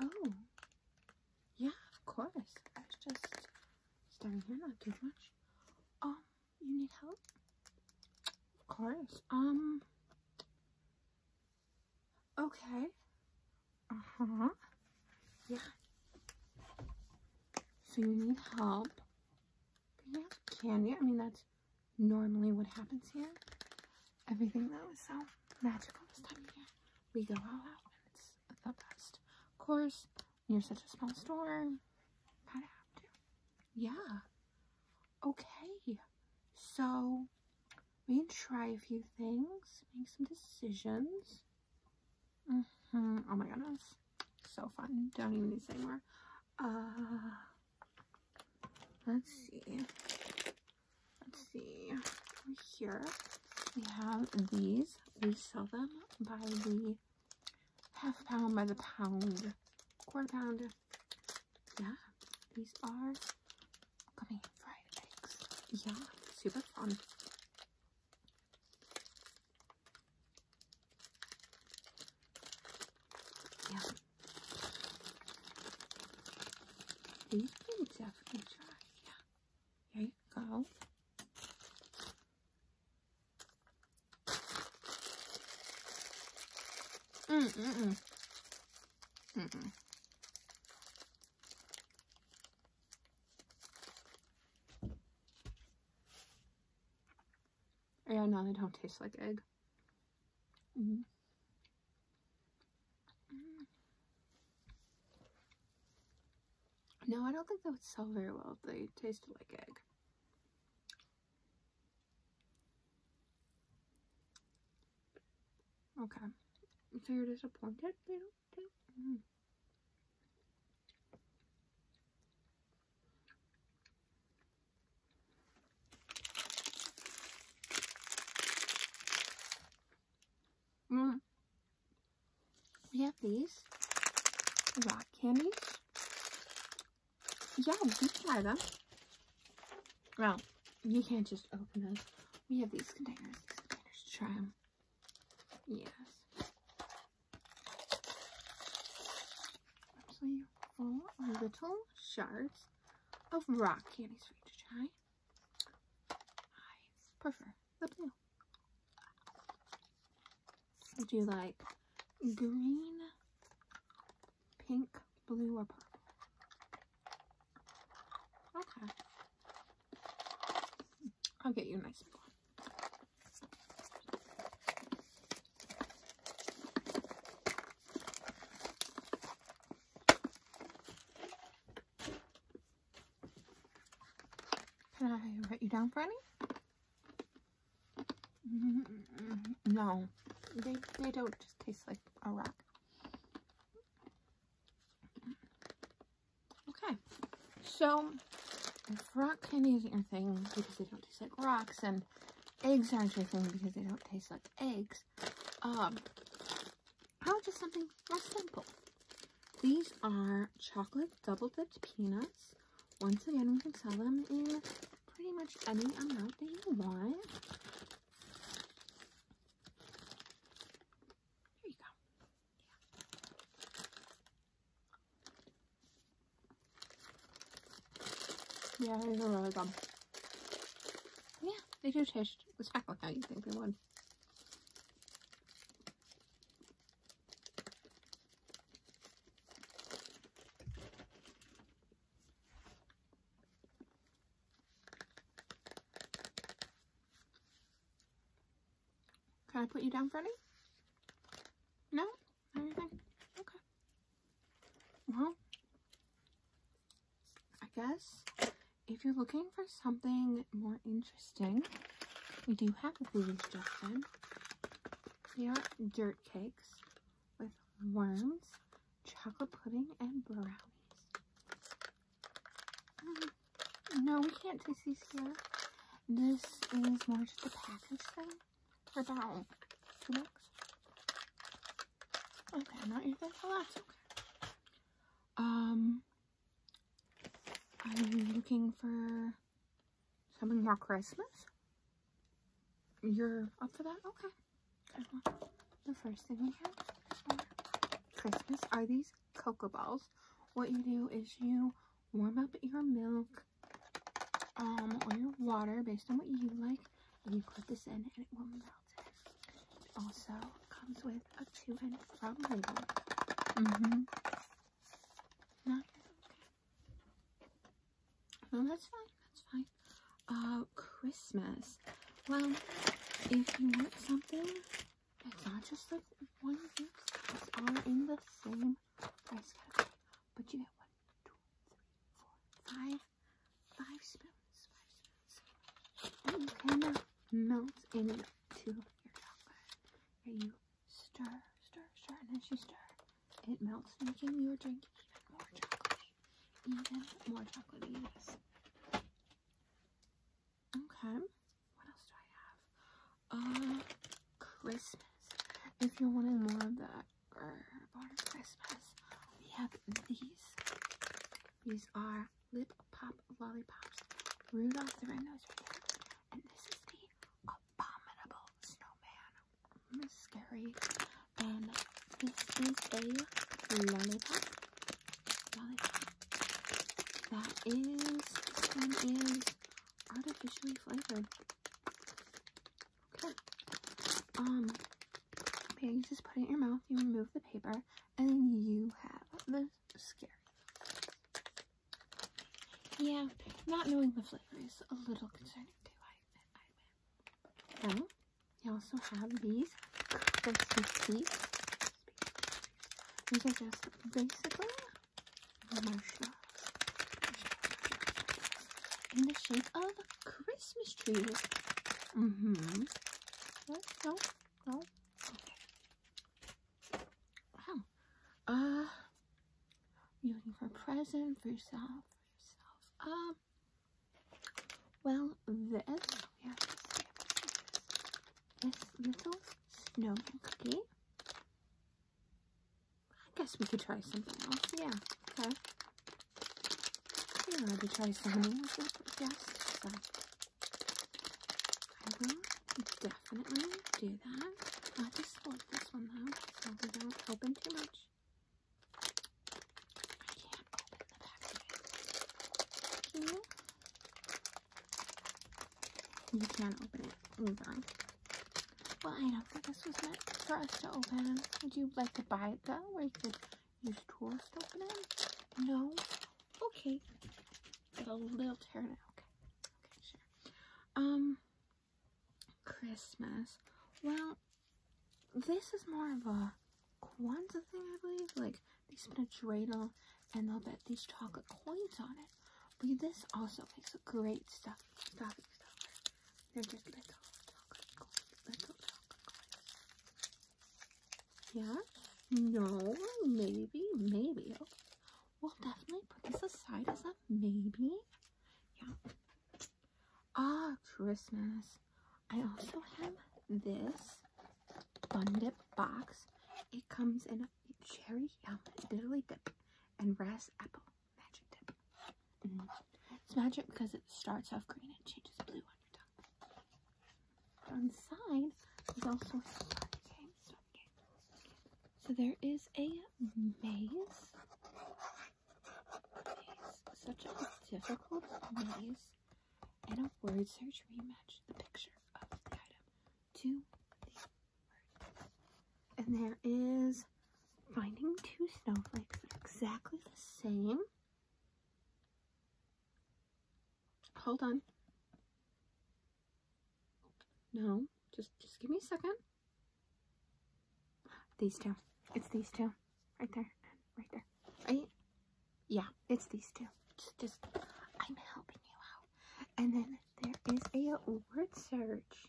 Oh, yeah, of course. I was just staring here, not too much. Um, you need help? Of course. Um, okay. Uh-huh. Yeah. So you need help. But yeah, candy. I mean, that's normally what happens here. Everything that was so magical this time of year, we go all out and it's the best. Of course, you're such a small store, kind of have to. Yeah. Okay. So, we try a few things, make some decisions. Mm-hmm. Oh my goodness. So fun. Don't even need to say more. Uh, Let's see. Let's see. Here we have these. We sell them by the half pound, by the pound, quarter pound. Yeah, these are gummy fried eggs. Yeah, super fun. Yeah, but you can definitely try. Yeah. Here you go. Mm mm mm. Mm mm. Yeah, no, they don't taste like egg. Mm -hmm. Mm. No, I don't think that would sell very well if they tasted like egg. Okay. So you're disappointed? Mm. Mm. We have these rock candies. Yeah, we can try them. Well, we can't just open those. We have these containers. containers to try them. Yes. Actually, full of little shards of rock candies for you to try. I prefer the blue. Would you like green, pink, blue, or purple? Okay. I'll get you a nice one. Can I write you down for any? no, they, they don't just taste like a rock. Okay, so if rock candy isn't your thing because they don't taste like rocks and eggs aren't your thing because they don't taste like eggs, sticks. Um, how just something more simple. These are chocolate double dipped peanuts. Once again, we can sell them in pretty much any amount that you want. There you go. yeah these are really good. Yeah, they do taste exactly how you think they would. Can I put you down, Freddie? No? Everything? Okay. Well, I guess if you're looking for something more interesting, we do have a food suggestion. They are dirt cakes with worms, chocolate pudding, and brownies. Um, no, we can't taste these here. This is more just a package thing. Or about two bucks. Okay, not even Oh, that's Okay. Um, I'm looking for something more Christmas. You're up for that? Okay. The first thing we have Christmas are these cocoa balls. What you do is you warm up your milk um, or your water based on what you like and you put this in and it will melt it. also comes with a two and from label. Mm-hmm. okay. No, that's fine. That's fine. Uh, Christmas. Well, if you want something, it's not just like one gift. It's all in the same price category, but you get one, two, three, four, five five spoons, five spoons. And you kind of melt into your chocolate. And you stir, stir, stir, and as you stir, it melts, making your drink even more chocolatey. Even more chocolatey, yes. Okay, what else do I have? Uh, Christmas. If you wanted more of that for Christmas. We have these. These are lip pop lollipops. Rudolph the Red Reindeer. And this is the abominable snowman. scary. And this is a lollipop. That is this one is artificially flavored. Okay. Um Okay, you just put it in your mouth, you remove the paper, and then you have the scary. Yeah, not knowing the flavor is a little concerning too, I you also have these crispy seeds. These are just basically In the shape of Christmas tree. Mm-hmm. No, no, no. Okay. Wow. Uh, you looking for a present for yourself? For yourself. Um. Well, this. this little snowman cookie. I guess we could try something else. Yeah, okay. We're allowed to try something else, I guess. So I will definitely do that. i just want this one though, so we don't open too much. I can't open the back you? You can open it. Move on. Well, I don't think this was meant for us to open. Would you like to buy it though, where you could use tools to open it? No? Okay. Got a little tear now. Okay. Okay, sure. Um, Christmas. Well, this is more of a Quanta thing, I believe. Like, they spin a dreidel and they'll bet these chocolate coins on it. But this also makes a great stuff, stuffing stuffer. They're just little chocolate coins. Little chocolate coins. Yeah? No? Maybe? Maybe. We'll definitely put this aside as a maybe. Yeah. Ah, Christmas. I also have this Bun box. It comes in a cherry yum, dilly dip, and ras apple. Mm-hmm. It's magic because it starts off green and changes blue on your tongue. On the side also So there is a maze. such a difficult maze. And a word search where the picture of the item to the word. And there is Finding Two Snowflakes. exactly the same. Hold on. No, just just give me a second. These two. It's these two. Right there. Right there. Right? Yeah, it's these two. Just, just I'm helping you out. And then there is a word search.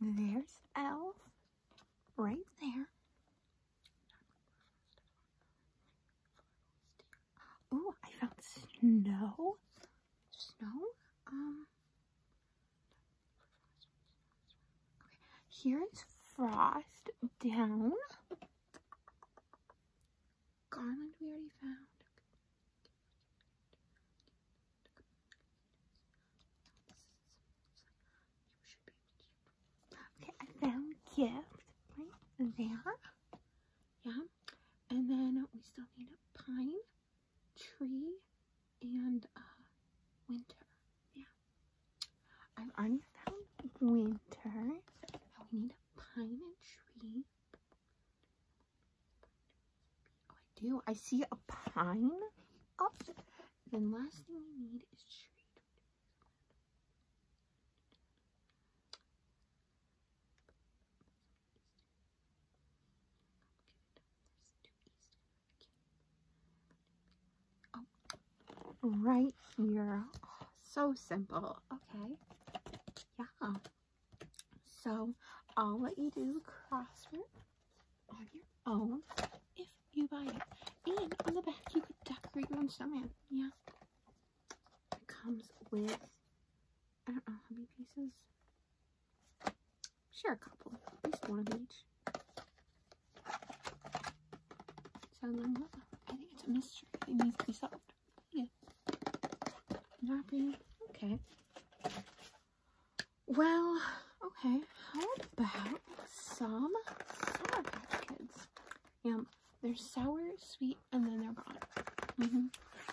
There's Elf right there. Oh, I found snow. Snow? Um. Here is frost down. Garland we already found. Okay, I found gift right there. Yeah. And then we still need a pine, tree, and uh, winter. Yeah. I've already found winter. Now we need a pine and tree. Oh, I do. I see a pine up. Then last thing we need is tree. right here. Oh, so simple. Okay. Yeah. So I'll let you do crossword on your own if you buy it. And on the back, you could decorate your own snowman. Yeah. It comes with, I don't know how many pieces. Sure, a couple. At least one of each. So then, I think it's a mystery. It needs to be solved. Yeah. happy? Okay. Well, okay. How about some Sour Patch Kids? Yum. They're sour, sweet, and then they're gone. Mm-hmm.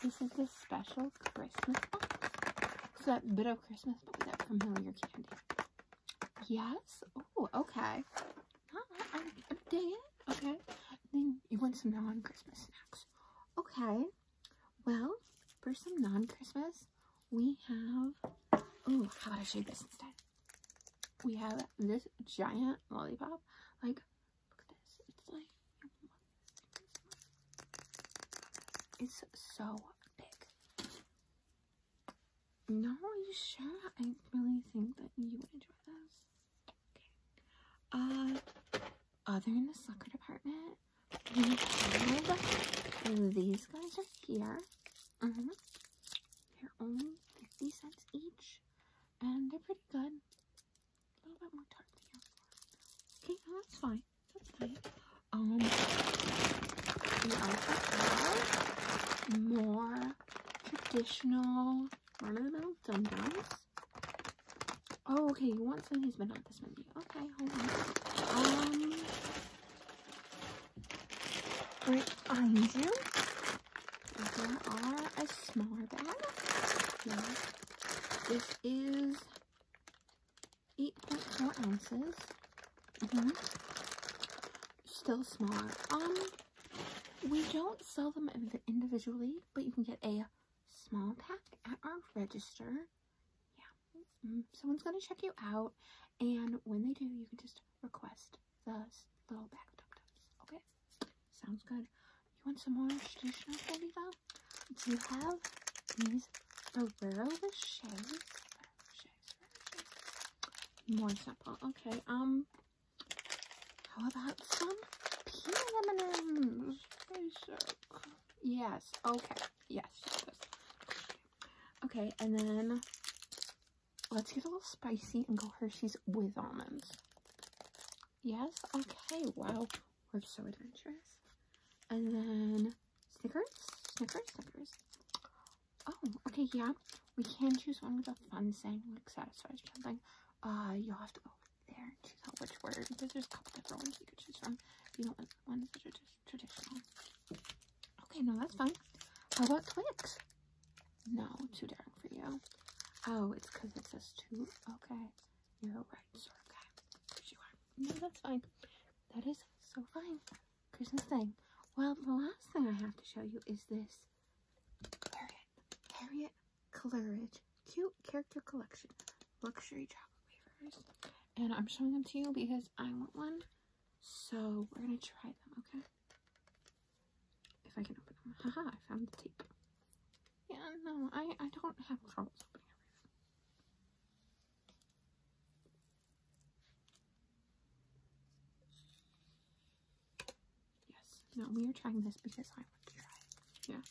This is the special Christmas box. that bit of Christmas, but that familiar candy. Yes. Oh, okay. Uh, I, I dig it. Okay. Then you want some non-Christmas Okay, well, for some non-Christmas, we have, oh, how about I show you this instead? We have this giant lollipop. Like, look at this. It's like, it's so big. No, you sure? I really think that you would enjoy this. Okay. Uh, other in the soccer department, we have these guys right here. Mm-hmm. They're only 50 cents each, and they're pretty good. A little bit more tart than yours. Okay, no, that's fine. That's fine. Um, we also have more traditional run little the dum-dums. Oh, okay, you want something that's been on this many? Okay, hold on. Um, right behind you, there are a smaller bag. This is 8.4 ounces. Mm-hmm. Still smaller. Um, we don't sell them individually but you can get a small pack at our register. Yeah, mm, someone's gonna check you out, and when they do, you can just request the little bag of Dum Okay, sounds good. You want some more traditional candy though? Do you have these Ferrero Rochers? More simple. Okay, um, how about some peanut M&M's? Yes. Okay. Yes. Okay, and then let's get a little spicy and go Hershey's with almonds. Yes? Okay, wow. We're so adventurous. And then Snickers? Snickers? Snickers. Oh, okay, yeah. We can choose one with a fun saying, like satisfies something. Uh, you'll have to, oh, there choose which word because there's a couple different ones you could choose from. If You don't know, ones that are just traditional. Okay, no, that's fine. How about Twix? No, too daring for you. Oh, it's because it says two. Okay, you're right, sir. Okay, yes, you are. No, that's fine. That is so fine. Christmas thing. Well, the last thing I have to show you is this. Harriet. Harriet Coleridge Cute Character Collection Luxury Chocolate Wafers. And I'm showing them to you because I want one. So we're going to try them, okay? If I can open them. Haha, I found the tape. Yeah, no, I, I don't have trouble opening Yes. No, we are trying this because I want to try it. Yeah.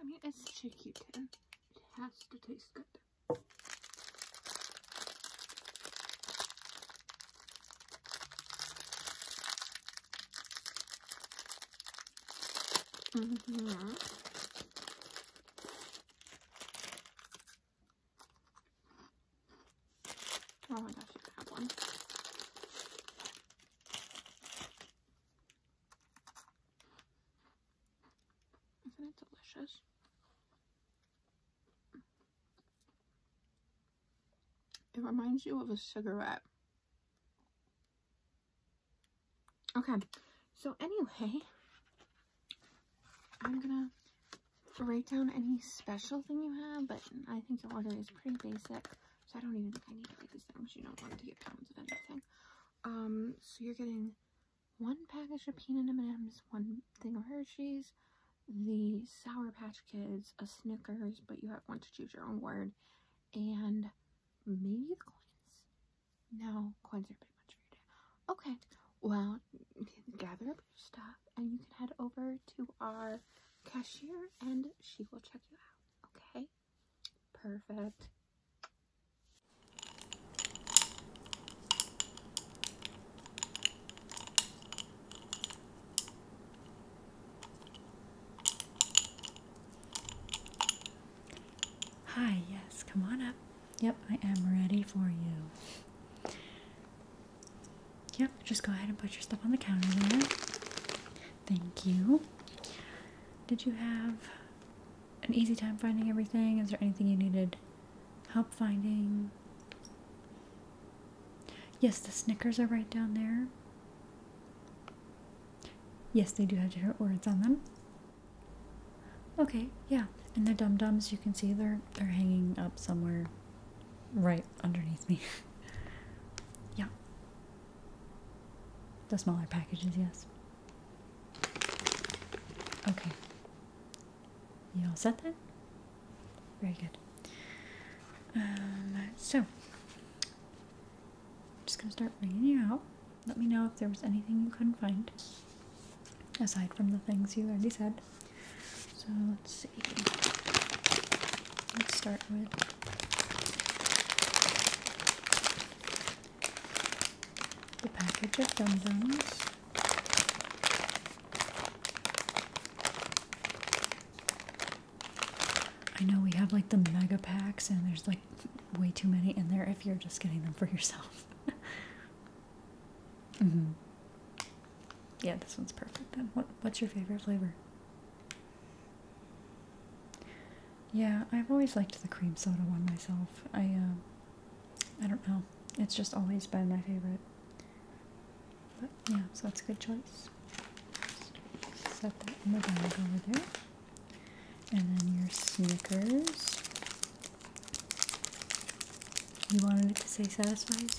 I mean, it's shaky tin. It has to taste good. Mm-hmm. Oh my gosh, you have one. Isn't it delicious? It reminds you of a cigarette. Okay, so anyway, I'm gonna write down any special thing you have, but I think the order is pretty basic, so I don't even think I need to write these things. You don't want to get pounds of anything. Um, so you're getting one package of peanut M&Ms, one thing of Hershey's, the Sour Patch Kids, a Snickers, but you have one to choose your own word, and Maybe the coins? No, coins are pretty much for your day. Okay, well, gather up your stuff and you can head over to our cashier and she will check you out, okay? Perfect. Hi, yes, come on up. Yep, I am ready for you. Yep, just go ahead and put your stuff on the counter there. Thank you. Did you have an easy time finding everything? Is there anything you needed help finding? Yes, the Snickers are right down there. Yes, they do have different words on them. Okay, yeah. And the dum dums, you can see they're they're hanging up somewhere, right underneath me. yeah. The smaller packages, yes. Okay. You all set then? Very good. Um, so, I'm just gonna start bringing you out. Let me know if there was anything you couldn't find, aside from the things you already said. So let's see. Let's start with. The package of Dum I know we have like the mega packs, and there's like way too many in there if you're just getting them for yourself. Mm-hmm. Yeah, this one's perfect. Then, what what's your favorite flavor? Yeah, I've always liked the cream soda one myself. I um, I don't know. It's just always been my favorite. But yeah, so that's a good choice. Set that in the bag over there. And then your Snickers. You wanted it to say satisfies?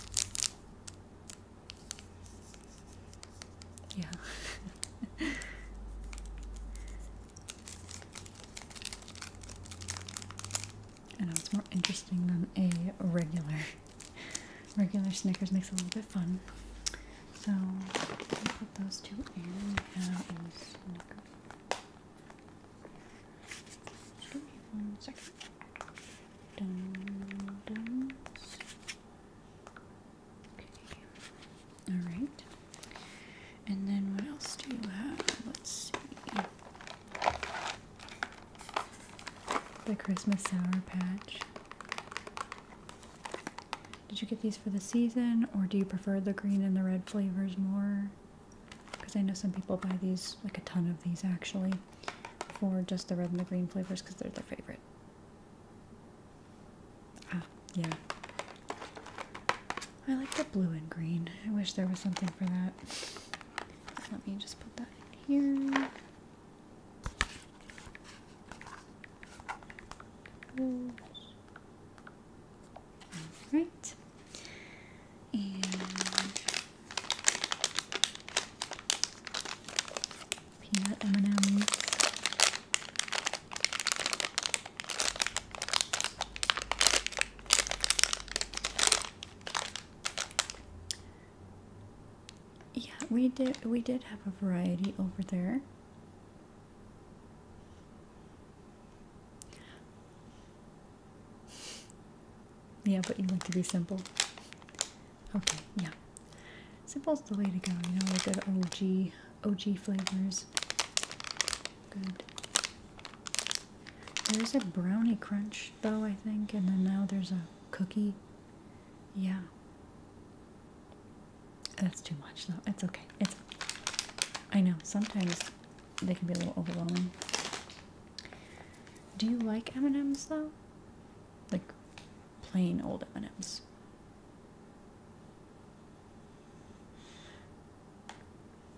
Yeah. I know it's more interesting than a regular. Regular Snickers makes a little bit fun. So I put those two in. We give me one second. Dum dums. Okay. Alright. And then what else do you have? Let's see. The Christmas Sour Patch. Did you get these for the season or do you prefer the green and the red flavors more? Because I know some people buy these, like a ton of these actually, for just the red and the green flavors because they're their favorite. Ah, yeah. I like the blue and green. I wish there was something for that. Let me just put that in here. Alright. And peanut M&M's yeah, we did we did have a variety over there. Yeah, but you want to be simple. Okay, yeah. Simple's the way to go, you know, like the OG OG flavors. Good. There's a brownie crunch though, I think, and then now there's a cookie. Yeah. That's too much, though. It's okay. It's. I know sometimes they can be a little overwhelming. Do you like M and M's though? Like plain old M and M's.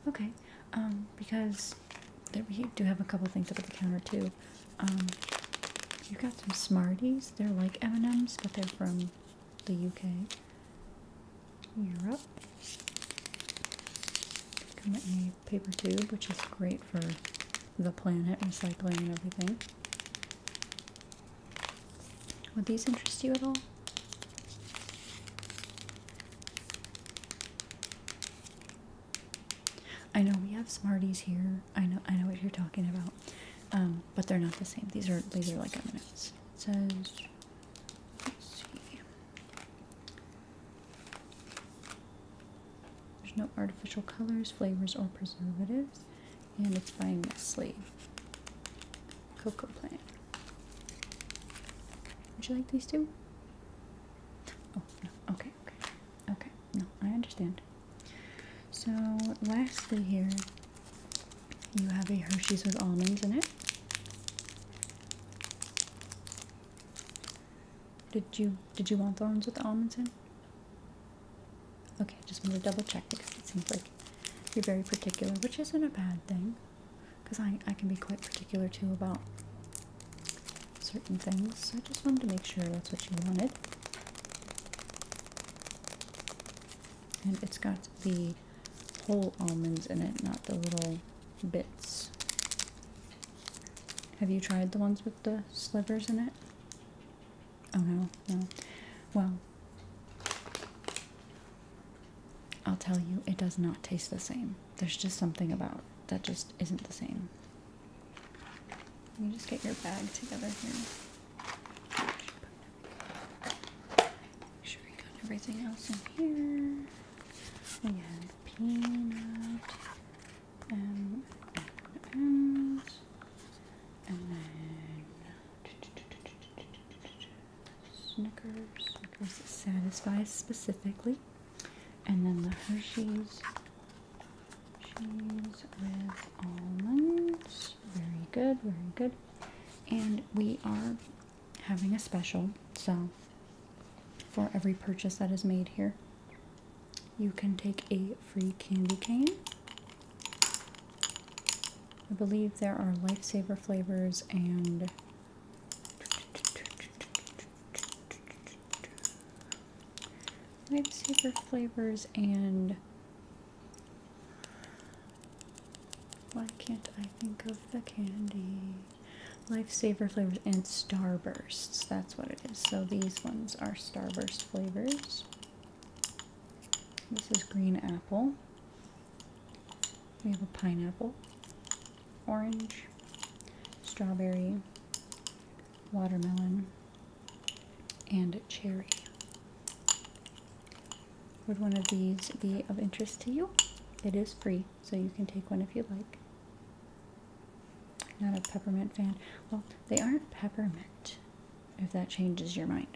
Okay, um, because we do have a couple things up at the counter too. Um, you got some Smarties. They're like M&M's, but they're from the UK. Europe. They in a paper tube, which is great for the planet, recycling and everything. Would these interest you at all? I know we have Smarties here. I know I know what you're talking about. Um, but they're not the same. These are these are like M&M's. It says, There's no artificial colors, flavors, or preservatives, and it's by Nestle. Cocoa plant. Would you like these two? Oh no. Okay. Okay. Okay. No, I understand. So lastly here, you have a Hershey's with almonds in it. Did you did you want the ones with the almonds in? Okay, just wanted to double check because it seems like you're very particular, which isn't a bad thing. Because I, I can be quite particular too about certain things. So I just wanted to make sure that's what you wanted. And it's got the whole almonds in it, not the little bits. Have you tried the ones with the slivers in it? Oh no, no. Well, I'll tell you, it does not taste the same. There's just something about that just isn't the same. Let me just get your bag together here. Make sure we got everything else in here. We had peanut, and and then Snickers. Snickers satisfies specifically, and then the Hershey's Cheese with almonds. Very good, very good. And we are having a special, so for every purchase that is made here, you can take a free candy cane. I believe there are lifesaver flavors and Life saver flavors and why can't I think of the candy? Life saver flavors and starbursts. That's what it is. So these ones are starburst flavors. This is green apple. We have a pineapple, orange, strawberry, watermelon, and cherry. Would one of these be of interest to you? It is free, so you can take one if you like. Not a peppermint fan. Well, they aren't peppermint, if that changes your mind.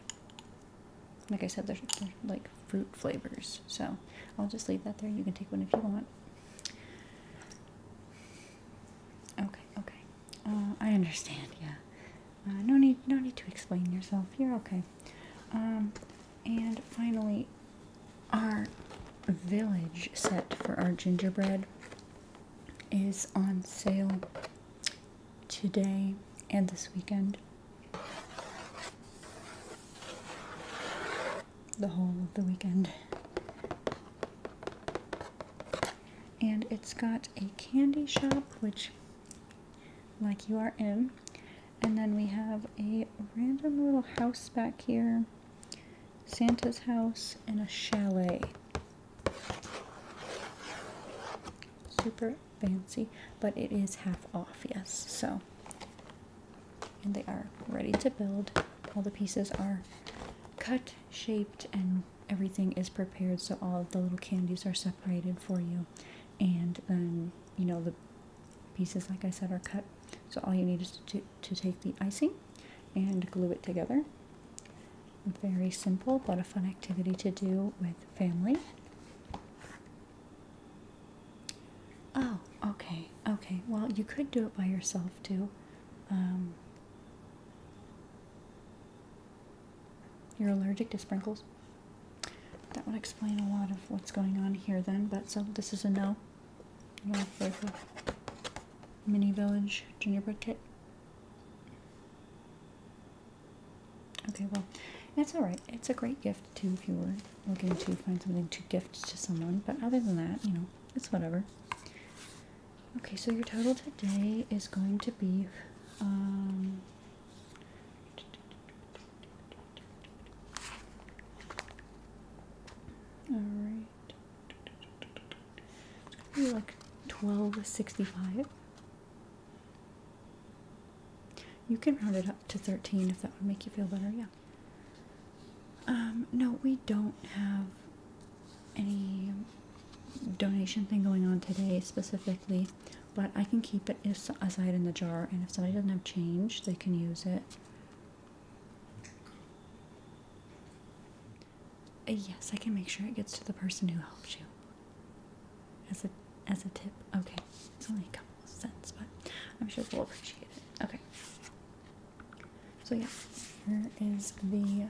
Like I said, they're, like fruit flavors, so I'll just leave that there. You can take one if you want. Okay, okay. Uh, I understand. Yeah. Uh, no need. No need to explain yourself. You're okay. Um, and finally, our village set for our gingerbread is on sale today and this weekend. The whole of the weekend and it's got a candy shop, which, like you are in. And then we have a random little house back here, Santa's house, and a chalet. Super fancy, but it is half off, yes, so. And they are ready to build. All the pieces are cut, shaped, and everything is prepared so all the little candies are separated for you and then um, you know the pieces like i said are cut so all you need is to, to take the icing and glue it together very simple but a fun activity to do with family oh okay okay well you could do it by yourself too um, you're allergic to sprinkles? That would explain a lot of what's going on here then, but so this is a no. mini village gingerbread kit. Okay, well, that's alright. It's a great gift too if you were looking to find something to gift to someone, but other than that, you know, it's whatever. Okay, so your total today is going to be um, all right. like twelve sixty-five. You can round it up to thirteen if that would make you feel better. Yeah. Um. No, we don't have any donation thing going on today specifically, but I can keep it aside in the jar, and if somebody doesn't have change, they can use it. Uh, yes, I can make sure it gets to the person who helps you. As a as a tip. Okay. It's only a couple of cents, but I'm sure they'll appreciate it. Okay. So yeah, here is the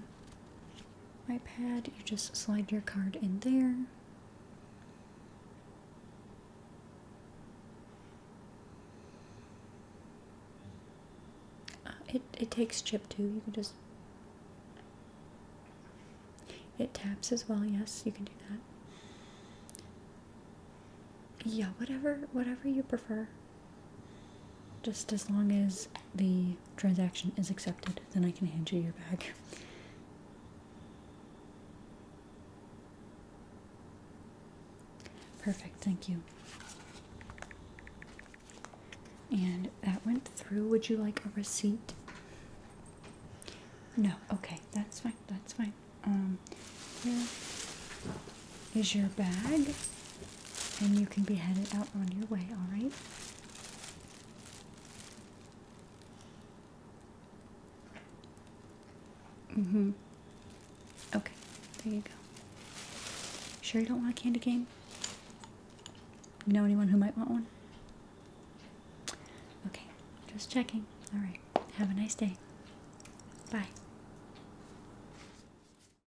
iPad. You just slide your card in there. Uh, it, it takes chip too. You can just. It taps as well. Yes, you can do that. Yeah, whatever, whatever you prefer. Just as long as the transaction is accepted, then I can hand you your bag. Perfect, thank you. And that went through. Would you like a receipt? No, okay, that's fine, that's fine. Um, here is your bag, and you can be headed out on your way, all right? Mm hmm. Okay, there you go. Sure, you don't want a candy cane? You know anyone who might want one? Okay, just checking. All right, have a nice day. Bye.